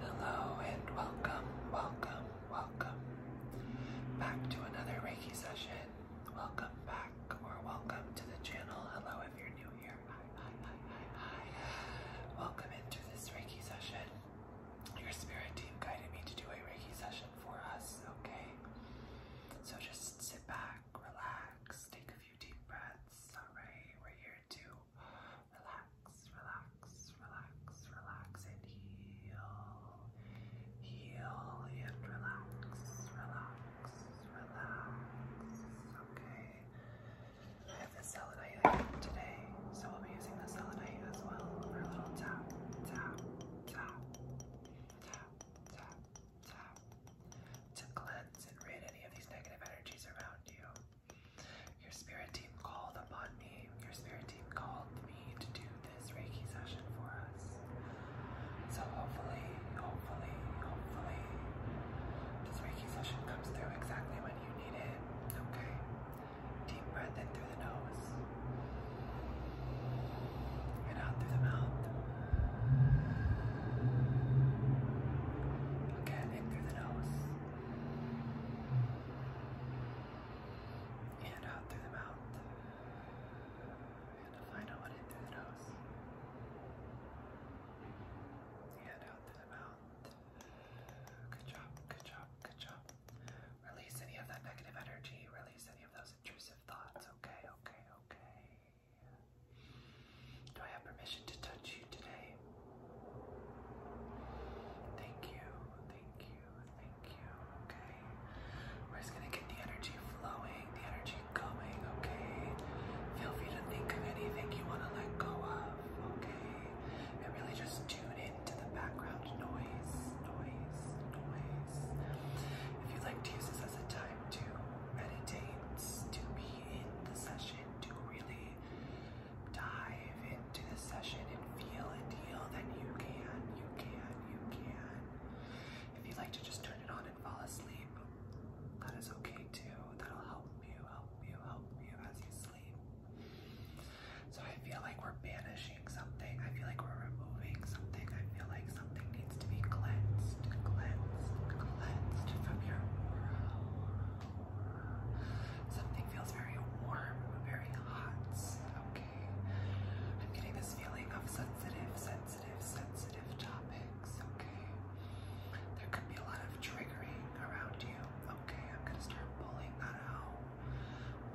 Hello and welcome, welcome, welcome back to another Reiki session. Welcome back or welcome to the channel. Hello if you're new here. Hi, hi, hi, hi, hi. Welcome into this Reiki session. Your spirit team guided me to do a Reiki session for us, okay? So just sit back, relax, take a few deep breaths. All right, we're here here to relax, relax, relax, relax, and heal. Heal and relax, relax, relax. Okay. I have the selenite I got today, so we'll be using the selenite as well for a little tap, tap, tap, tap, tap, tap to cleanse and rid any of these negative energies around you. Your spirit team called upon me. Your spirit team called me to do this Reiki session for us. So hopefully, hopefully, hopefully, this Reiki session comes through exactly when you need it. Okay? Deep breath in through the nose and out through the mouth. Again, in through the nose. And out through the mouth. And a through the nose. And out through the mouth. Good job, good job, good job. Release any of that negative energy. Release any of those intrusive thoughts. Okay, okay, okay. Do I have permission to touch today. Thank you, thank you, thank you. Okay, we're just gonna get the energy flowing, the energy going. Okay, feel free to think of anything you want to let go of. Okay, and really just tune into the background noise, noise, noise. If you'd like to use this as a time to meditate, to be in the session, to really dive into the session and feel and deal, then you can, you can, you can. If you like to just turn it on and fall asleep, that is okay too. That'll help you, help you, help you as you sleep. So I feel like we're banishing something. I feel like we're removing something. I feel like something needs to be cleansed, cleansed, cleansed from your aura, Something feels very warm, very hot. Okay. I'm getting this feeling of sensitive, sensitive, sensitive topics. Okay. There could be a lot of triggering around you. Okay, I'm gonna start pulling that out.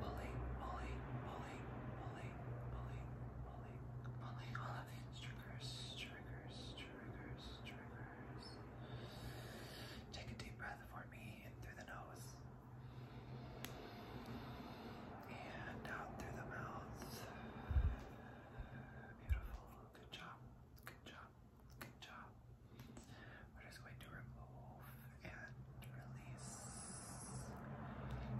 Pulling, pulling, pulling, pulling, pulling, pulling, pulling all of these triggers, triggers, triggers, triggers. Take a deep breath for me in through the nose. And out through the mouth. Beautiful. Good job. Good job. Good job. We're just going to remove and release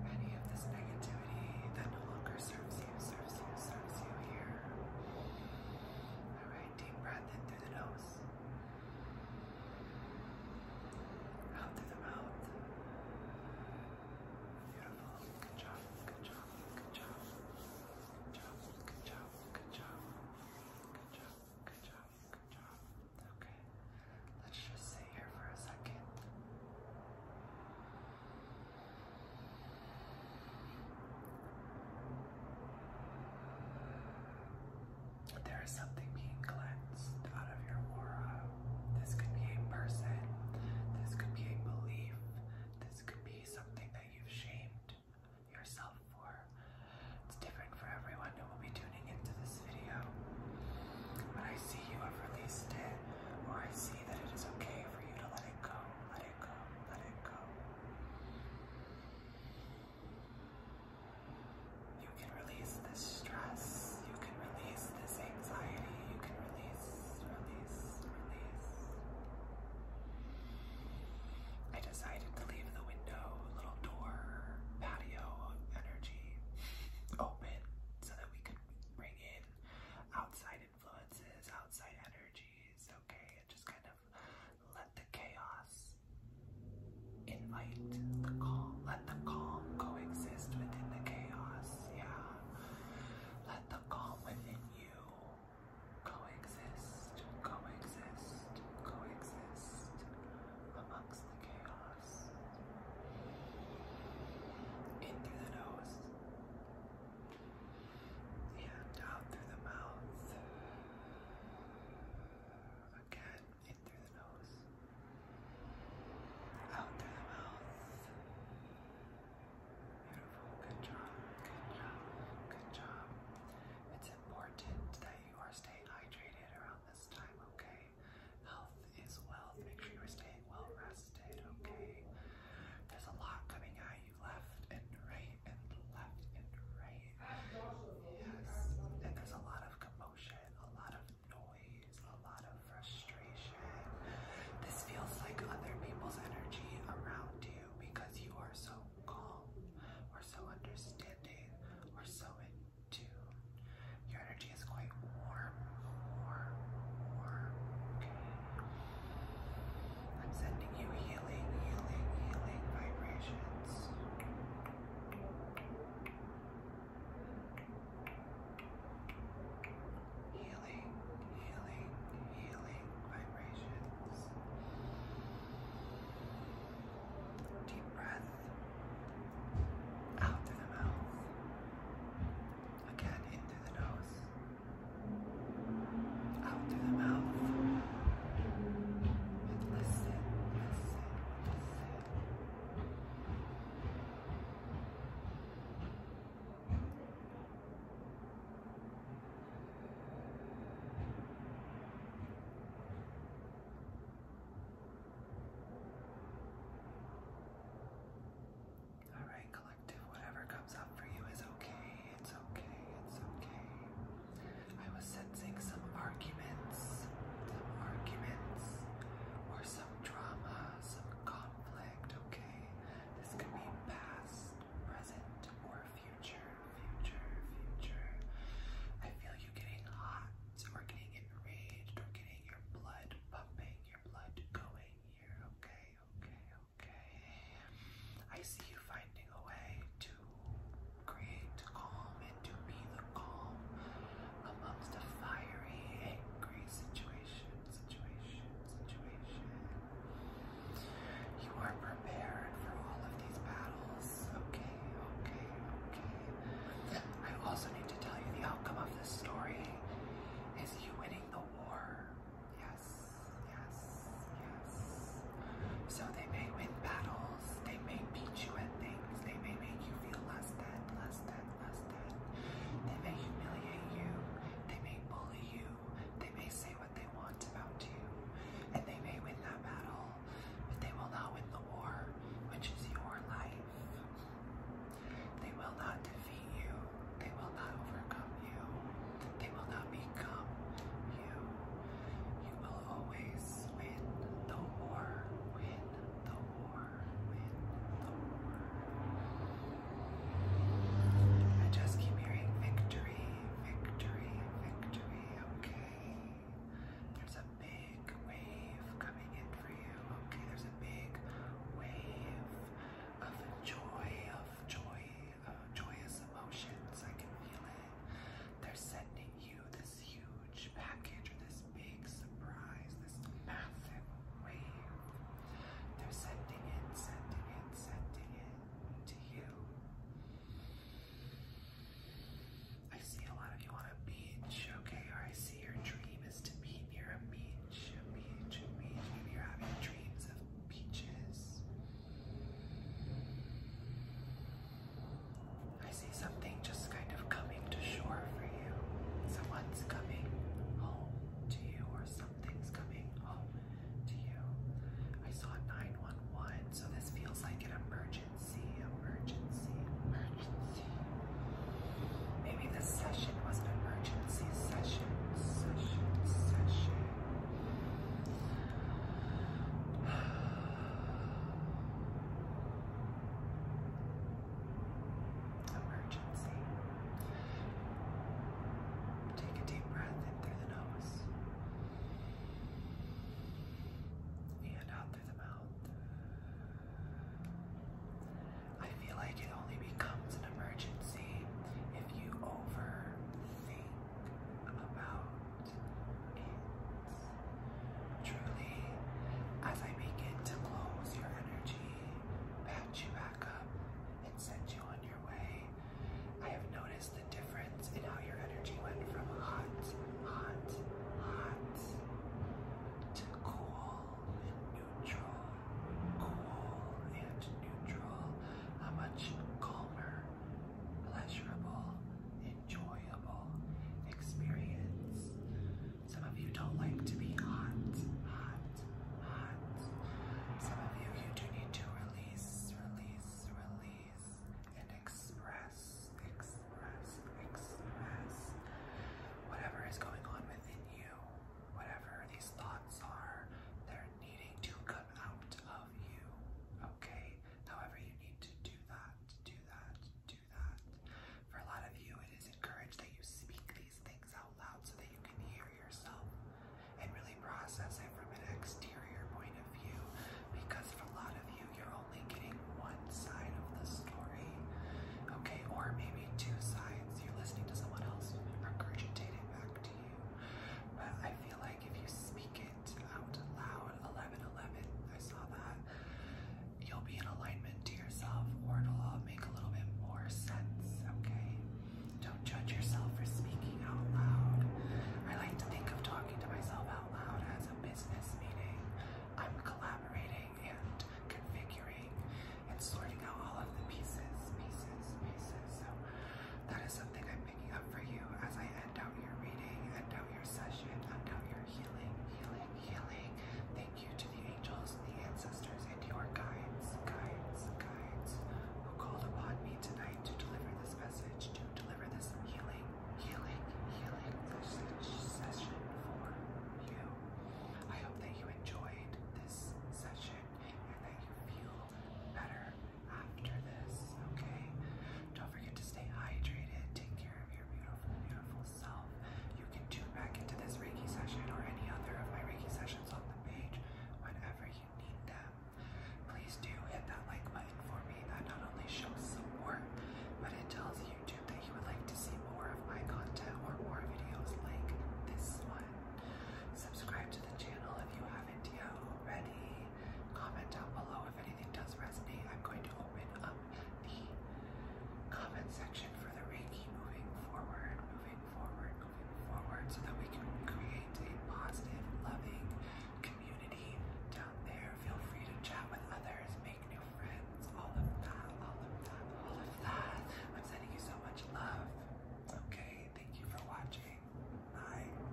any of this negativity that no longer serves you, serves you, serves you here. Alright, deep breath in through the nose. Out through the mouth. Beautiful. Good job. Good job. Good job. Good job. Good job. Good job. Good job. Good job. Good job. Okay. Let's just sit here for a second. Good. There is something being cleansed out of your aura. This could be a person, this could be a belief, this could be something that you've shamed yourself for. It's different for everyone who will be tuning into this video. But I see you have released it, or I see that it is okay for you to let it go, let it go, let it go. You can release this stress. You can release this anxiety. You can release, release, release. I decided to leave the window, little door, patio energy open so that we could bring in outside influences, outside energies, okay? And just kind let the chaos invite the calm, let the calm coexist within the chaos. Yeah, let the calm within you coexist, coexist, coexist amongst the chaos. In through the nose and out through the mouth. Again, in through the nose. Out through the mouth. Beautiful. Good job. Good job. Good job. It's important that you are staying hydrated around this time, okay? Health is wealth. Make sure you are staying well rested, okay? There's a lot coming at you left and right and left and right. Yes. And there's a lot of commotion, a lot of noise, a lot of frustration. This feels like other people's energy around you because you are so calm or so understanding or so in tune. Your energy is quite warm, warm, warm. Okay. I'm sending you healing, healing, healing vibrations. Healing, healing, healing vibrations. Deep breath out through the mouth. Again, in through the nose out through the mouth. Listen, listen, listen. All right, collective, whatever comes up for you is okay it's okay, it's okay. I was sensing some arguments, some arguments, or some drama, some conflict, okay? This could be past, present, or future, future, future. I feel you getting hot, or getting enraged, or getting your blood pumping, your blood going here, okay, okay, okay. I see you finding a way to create calm and to be the calm amongst a fiery, angry situation, situation, situation. You are prepared for all of these battles. Okay, okay, okay. I also need to tell you the outcome of this story is you winning the war. Yes, yes, yes. So they may win battles, they may beat you at things, they may make you feel less than, less than, less than. They may humiliate you, they may bully you, they may say what they want about you, and they may win that battle, but they will not win the war, which is your life. They will not defeat you, they will not overcome you. They will not become you. You will always win the war. Win the war. Win the war. I just keep hearing victory, victory, victory. Okay. There's a big wave coming in for you. Okay, there's a big wave of joy, of joy, uh, joyous emotions. I can feel it. They're sending you this huge package or this big surprise, this massive wave. They're sending it, sending it, sending it to you. I see a lot of you on a beach, okay? Or I see your dream is to be near a beach, a beach, a beach. Maybe you're having dreams of beaches. I see something just kind of coming to shore for you. Someone's coming home to you, or something's coming home to you. I saw 911, so this feels like an emergency, emergency, emergency. Maybe this session was an emergency session, session, session. Emergency. Take a deep breath in through the nose and out through the mouth. I feel like it only becomes an emergency if you overthink about truly, as I begin to close your energy, pat you back up, and send you on your way, I have noticed the difference in how your energy went from hot, hot, hot to cool and neutral, cool and neutral. much calmer, pleasurable, enjoyable experience. Some of you don't like to be hot, hot, hot. Some of you, do need to release, release, release, and express, express, express whatever is going on within you, whatever these thoughts are. They're needing to come out of you, okay? However, you need to do that, do that, do that. For a lot of you, it is encouraged that you speak these things out loud so that you can hear yourself and really process it from an exterior point of view. Because for a lot of you, you're only getting one side of the story, okay, or maybe two sides. You're listening to someone else regurgitating back to you. But I feel like if you speak it, out loud. eleven eleven. I saw that. You'll be in alignment to yourself, or it'll all make a little bit more sense, okay? Don't judge yourself for speaking out loud. I like to think of talking to myself out loud as a business meeting. I'm collaborating and configuring and sorting out all of the pieces, pieces, pieces. So that is something I'm up for you as I end out your reading, end out your session, end out your healing, healing, healing. Thank you to the angels, the ancestors, and your guides, guides, guides who called upon me tonight to deliver this message, to deliver this healing, healing, healing session for you. I hope that you enjoyed this session and that you feel feel better after this, okay? Don't forget to stay hydrated. Take care of your beautiful, beautiful self. You can tune back into this Reiki session or any other of my Reiki sessions on the page whenever you need them. Please do hit that like button for me. That not only shows support, but it tells YouTube that you would like to see more of my content or more videos like this one. Subscribe to the channel if you haven't yet already. Comment down below if anything does resonate. I'm going to open up the comment section for the Reiki moving forward, moving forward, moving forward, so that we can create a positive, loving community down there. Feel free to chat with others, make new friends, all of that, all of that, all of that. I'm sending you so much love. Okay, thank you for watching. Bye.